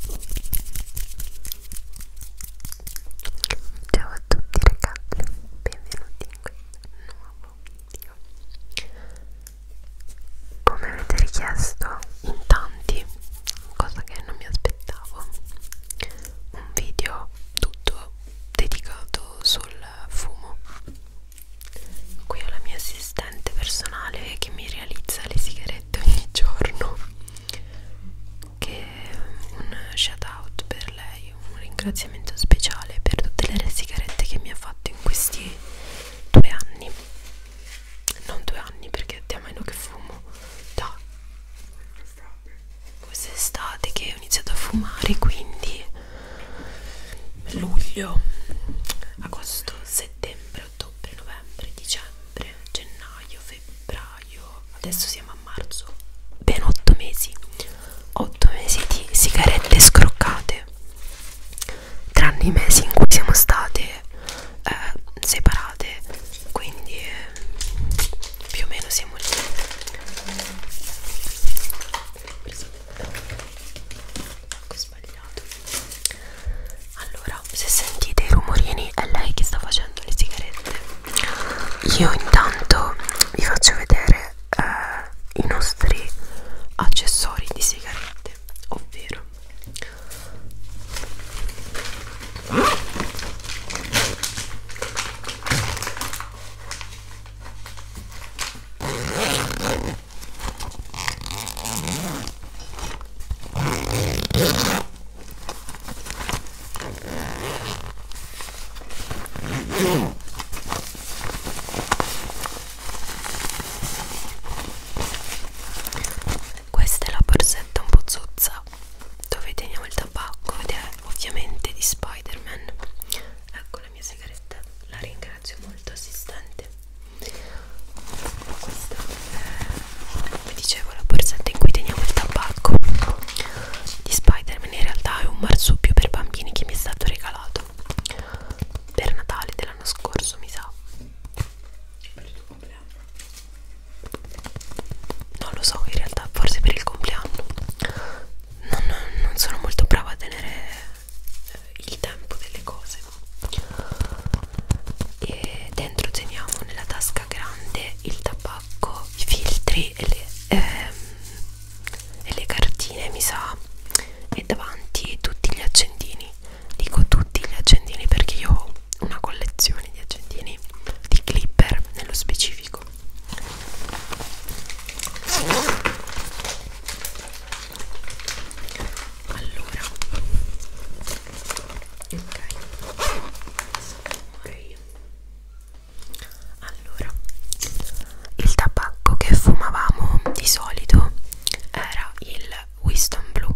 Ciao a tutti ragazzi, benvenuti in questo nuovo video. Come avete richiesto in tanti, cosa che non mi aspettavo, un video tutto dedicato sul fumo. Qui ho la mia assistente personale che mi realizza le sigarette ogni giorno che un shout out per lei, un ringraziamento speciale per tutte le sigarette che mi ha fatto in questi due anni non due anni perché a meno che fumo da quest'estate che ho iniziato a fumare quindi luglio agosto settembre settembre, ottobre, novembre, dicembre, gennaio, febbraio, adesso siamo a marzo, ben 8 mesi, 8 mesi di sigarette scroccate, tranne i mesi in cui siamo state eh, separate, quindi eh, più o meno siamo lì ho sbagliato allora se sentite i rumorini è lei che sta facendo le sigarette io intanto vi faccio vedere eh, i nostri accessori di sigarette ovvero questa è la borsetta un po' zozza dove teniamo il tabacco ed è ovviamente di Spider-Man. Ecco la mia sigaretta, la ringrazio molto assistente. Questa è come dicevo la borsetta in cui teniamo il tabacco di Spider-Man in realtà è un marsupio per bambini che mi è stato regalato per Natale dell'anno scorso mi sa per il tuo compleanno? non lo so in realtà forse per il compleanno non, non sono molto brava a tenere il tempo delle cose e dentro teniamo nella tasca grande il tabacco, i filtri e le, ehm, e le cartine mi sa e davanti tutti gli accendini dico tutti gli accendini perché io ho una collezione di accendini di clipper nello specifico allora ok allora il tabacco che fumavamo di solito era il Winston Blue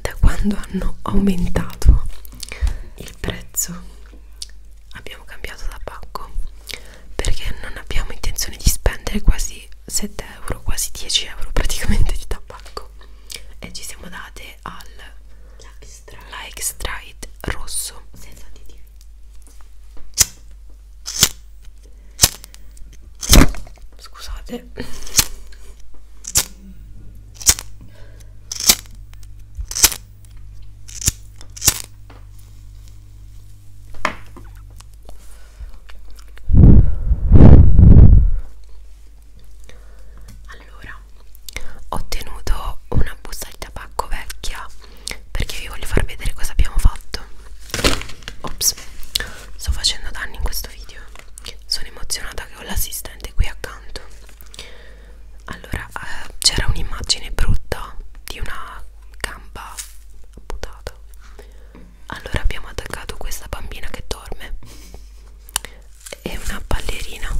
da quando hanno aumentato il prezzo abbiamo cambiato tabacco perché non abbiamo intenzione di spendere quasi 7 euro quasi 10 euro praticamente di tabacco e ci siamo date simile al la extraite rosso senza additivi scusate allora ho ottenuto una busta di tabacco vecchia perché vi voglio far vedere cosa abbiamo fatto ops sto facendo danni in questo video sono emozionata che ho l'assistente qui accanto allora eh, c'era un'immagine brutta di una gamba buttata allora abbiamo attaccato questa bambina che dorme e una ballerina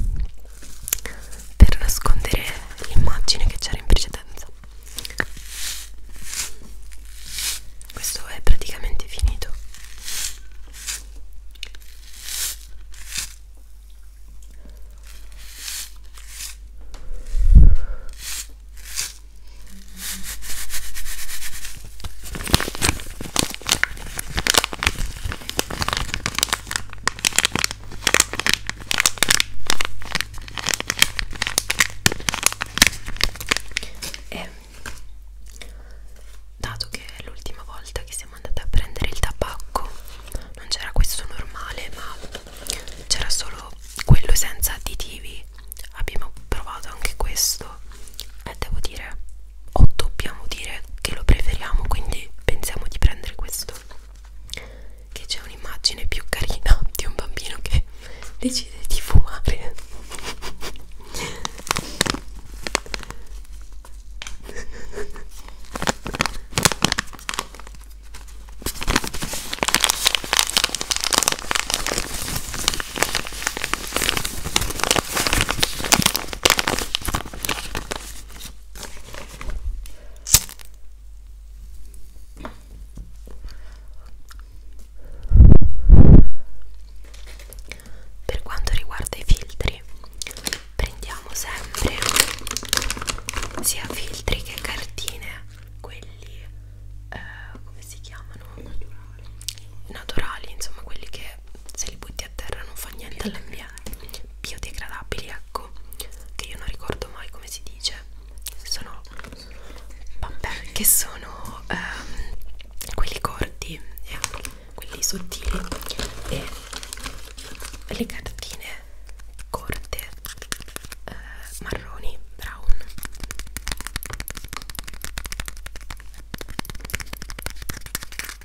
per nascondere l'immagine che c'era in precedenza questo è praticamente finito e dato che l'ultima volta che siamo andate a prendere il tabacco non c'era questo normale ma c'era solo quello senza additivi abbiamo provato anche questo e devo dire o dobbiamo dire che lo preferiamo quindi pensiamo di prendere questo che c'è un'immagine più carina di un bambino che decide di fumare per quanto riguarda i filtri, prendiamo sempre sia filtri che cartine, quelli eh, come si chiamano? Naturali. Naturali, insomma, quelli che se li butti a terra non fa niente all'ambiente biodegradabili ecco che io non ricordo mai come si dice sono vabbè che sono ehm, quelli corti eh, quelli sottili e le cartine corte eh, marroni brown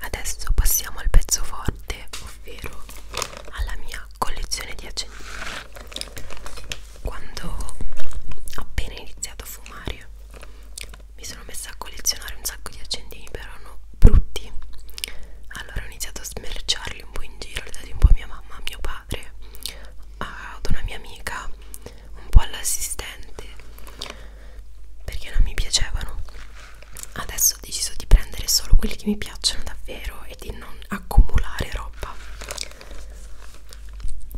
Adesso passiamo al pezzo forte, ovvero alla mia collezione di accendini. Quando ho appena iniziato a fumare, mi sono messa a collezionare un sacco di accendini, però erano brutti. Allora ho iniziato a smerciarli un po' in giro, ho dati un po' a mia mamma, a mio padre, ad una mia amica un po' all'assistente perché non mi piacevano adesso ho deciso di prendere solo quelli che mi piacciono davvero e di non accumulare roba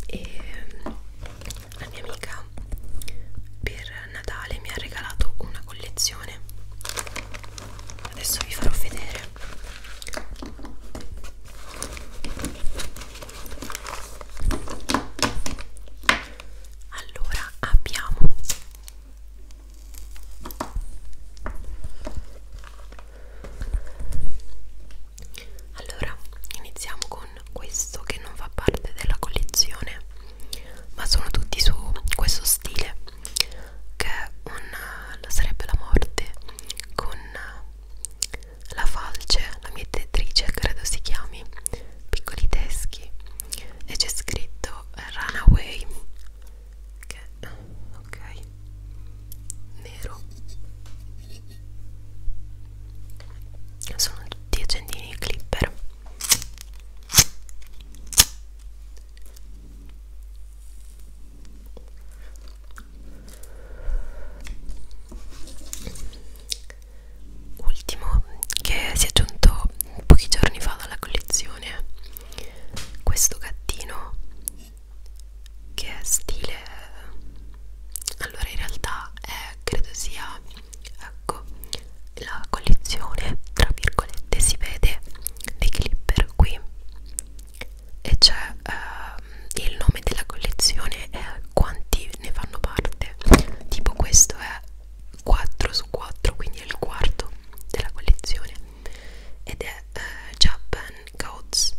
e ehm, la mia amica per Natale mi ha regalato una collezione adesso vi farò vedere allora abbiamo allora iniziamo con questo che non fa parte della collezione ma sono tutti su questo stile che è un, sarebbe la morte con la falce, la mia editrice credo si chiami, piccoli teschi, e c'è scritto Runaway, che ok, nero. Sono tutti accendini clipper ultimo che si è aggiunto pochi giorni fa dalla collezione questo gattino che è stile allora in realtà è, credo sia ecco la collezione tra virgolette si vede dei clipper qui e c'è eh, il nome della collezione e quanti ne fanno parte tipo questo è 4 su 4 quindi è il quarto della collezione ed è eh, Japan Goats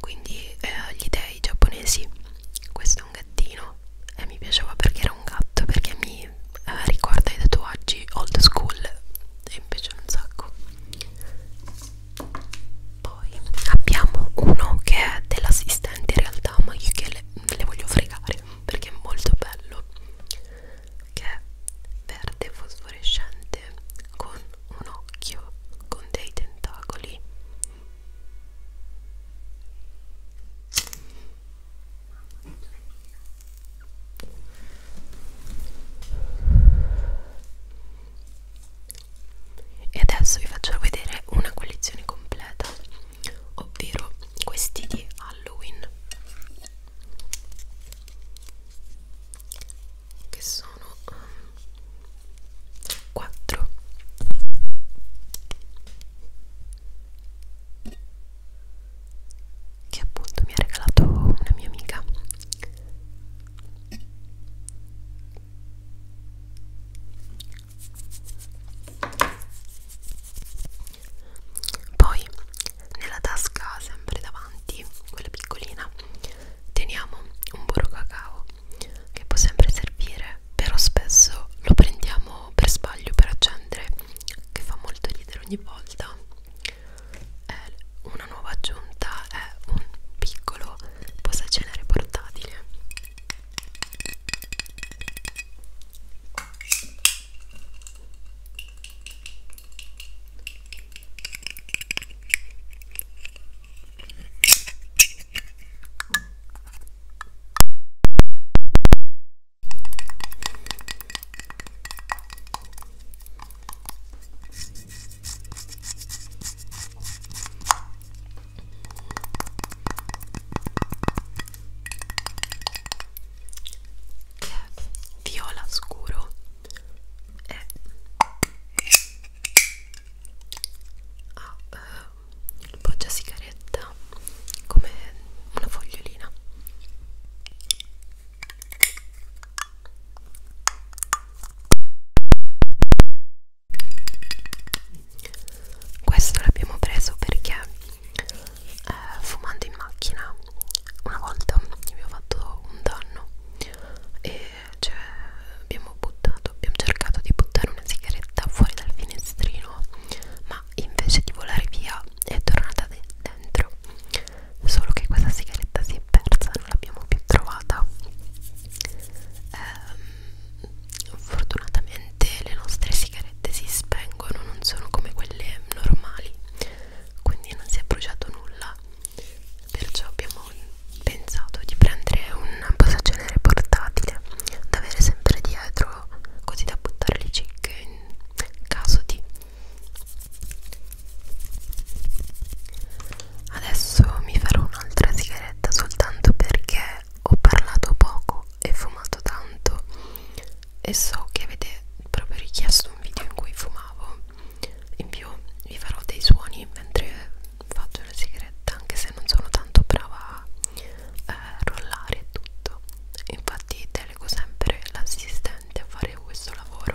quindi eh, gli dei giapponesi questo è un gattino e mi piaceva perché era un gatto perché mi eh, ricorda i tatuaggi old school e mi piacciono un sacco poi abbiamo uno che è dell'assistente in realtà, ma io che le, le voglio fregare perché è molto bello. Che è verde fosforescente con un occhio con dei tentacoli e adesso vi faccio vedere una collezione completa ovvero questi di Halloween che sono 4 um, che appunto mi ha regalato una mia amica poi nella tasca sempre davanti, quella piccolina, teniamo un burro cacao che può sempre servire, però spesso lo prendiamo per sbaglio per accendere, che fa molto ridere ogni volta eh, una nuova aggiunta è un piccolo posacenere portatile che è viola scuro e eh. ha ah, eh, il poggia sigaretta come una fogliolina questo l'abbiamo preso perché eh, fumando in macchina una volta abbiamo fatto un danno e cioè, abbiamo buttato abbiamo cercato di buttare una sigaretta fuori dal finestrino ma invece di volare via è tornata de dentro solo che questa sigaretta si è persa non l'abbiamo più trovata ehm, fortunatamente le nostre sigarette si spengono non sono come quelle normali quindi non si è bruciato nulla perciò abbiamo pensato di prendere un passagenere portatile da avere sempre dietro così da buttare le cicche in caso di Adesso mi farò un'altra sigaretta soltanto perché ho parlato poco e fumato tanto e so che avete proprio richiesto un video in cui fumavo. In più vi farò dei suoni mentre faccio la sigaretta, anche se non sono tanto brava a eh, rollare e tutto. Infatti delego sempre l'assistente a fare questo lavoro.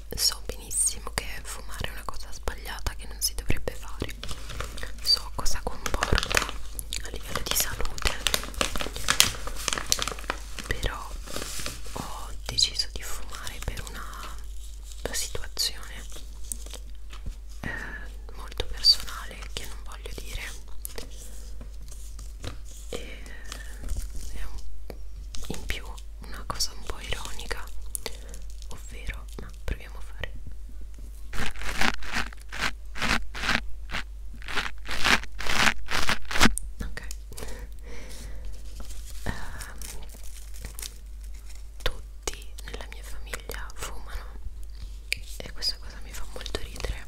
so benissimo che fumare è una cosa sbagliata che non si dovrebbe fare so cosa comporta a livello di salute però ho deciso di fumare per una situazione eh, molto personale che non voglio dire e è eh, un, in più una cosa un po' ironica ovvero ma proviamo a fare ok um, tutti nella mia famiglia fumano e questa cosa mi fa molto ridere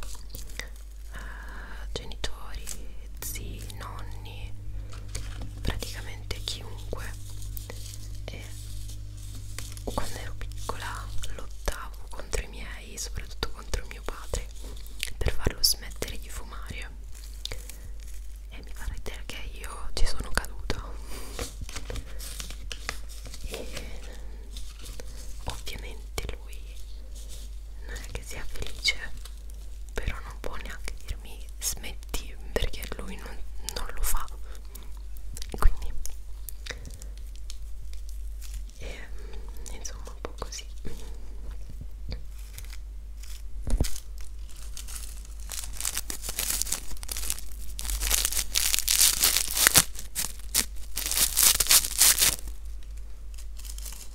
genitori, zii, nonni, praticamente chiunque e quando ero piccola lottavo contro i miei, soprattutto contro mio padre per farlo smettere di fumare e mi farete che io ci sono caduta e ovviamente lui non è che sia felice però non può neanche dirmi smetti perché lui non, non lo fa quindi e, ehm, insomma un po' così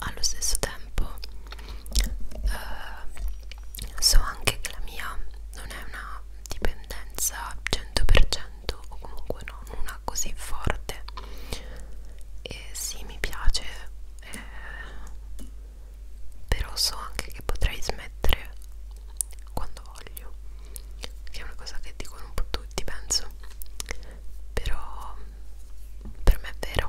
allo stesso tempo eh, so anche che la mia non è una dipendenza 100% o comunque non una così forte e sì mi piace eh, però so anche che potrei smettere quando voglio che è una cosa che dicono un po' tutti penso però per me è vero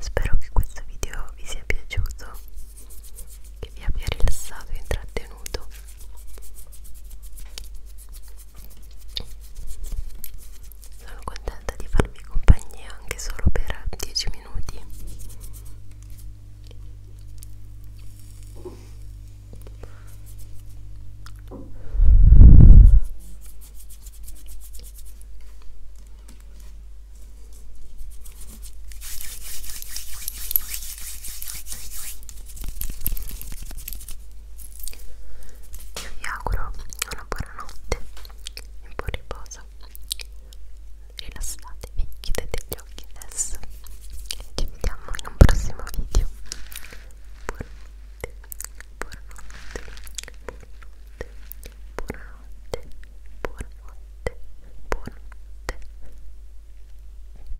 Spero che questo video vi sia piaciuto che vi abbia rilassato e intrattenuto sono contenta di farvi compagnia anche solo per 10 minuti Ora io vi auguro una buona notte e un buon riposo. Rilassatevi, chiudete gli occhi adesso. Ci vediamo in un prossimo video. Buonanotte, buonanotte, buonanotte, buonanotte, buonanotte, buonanotte.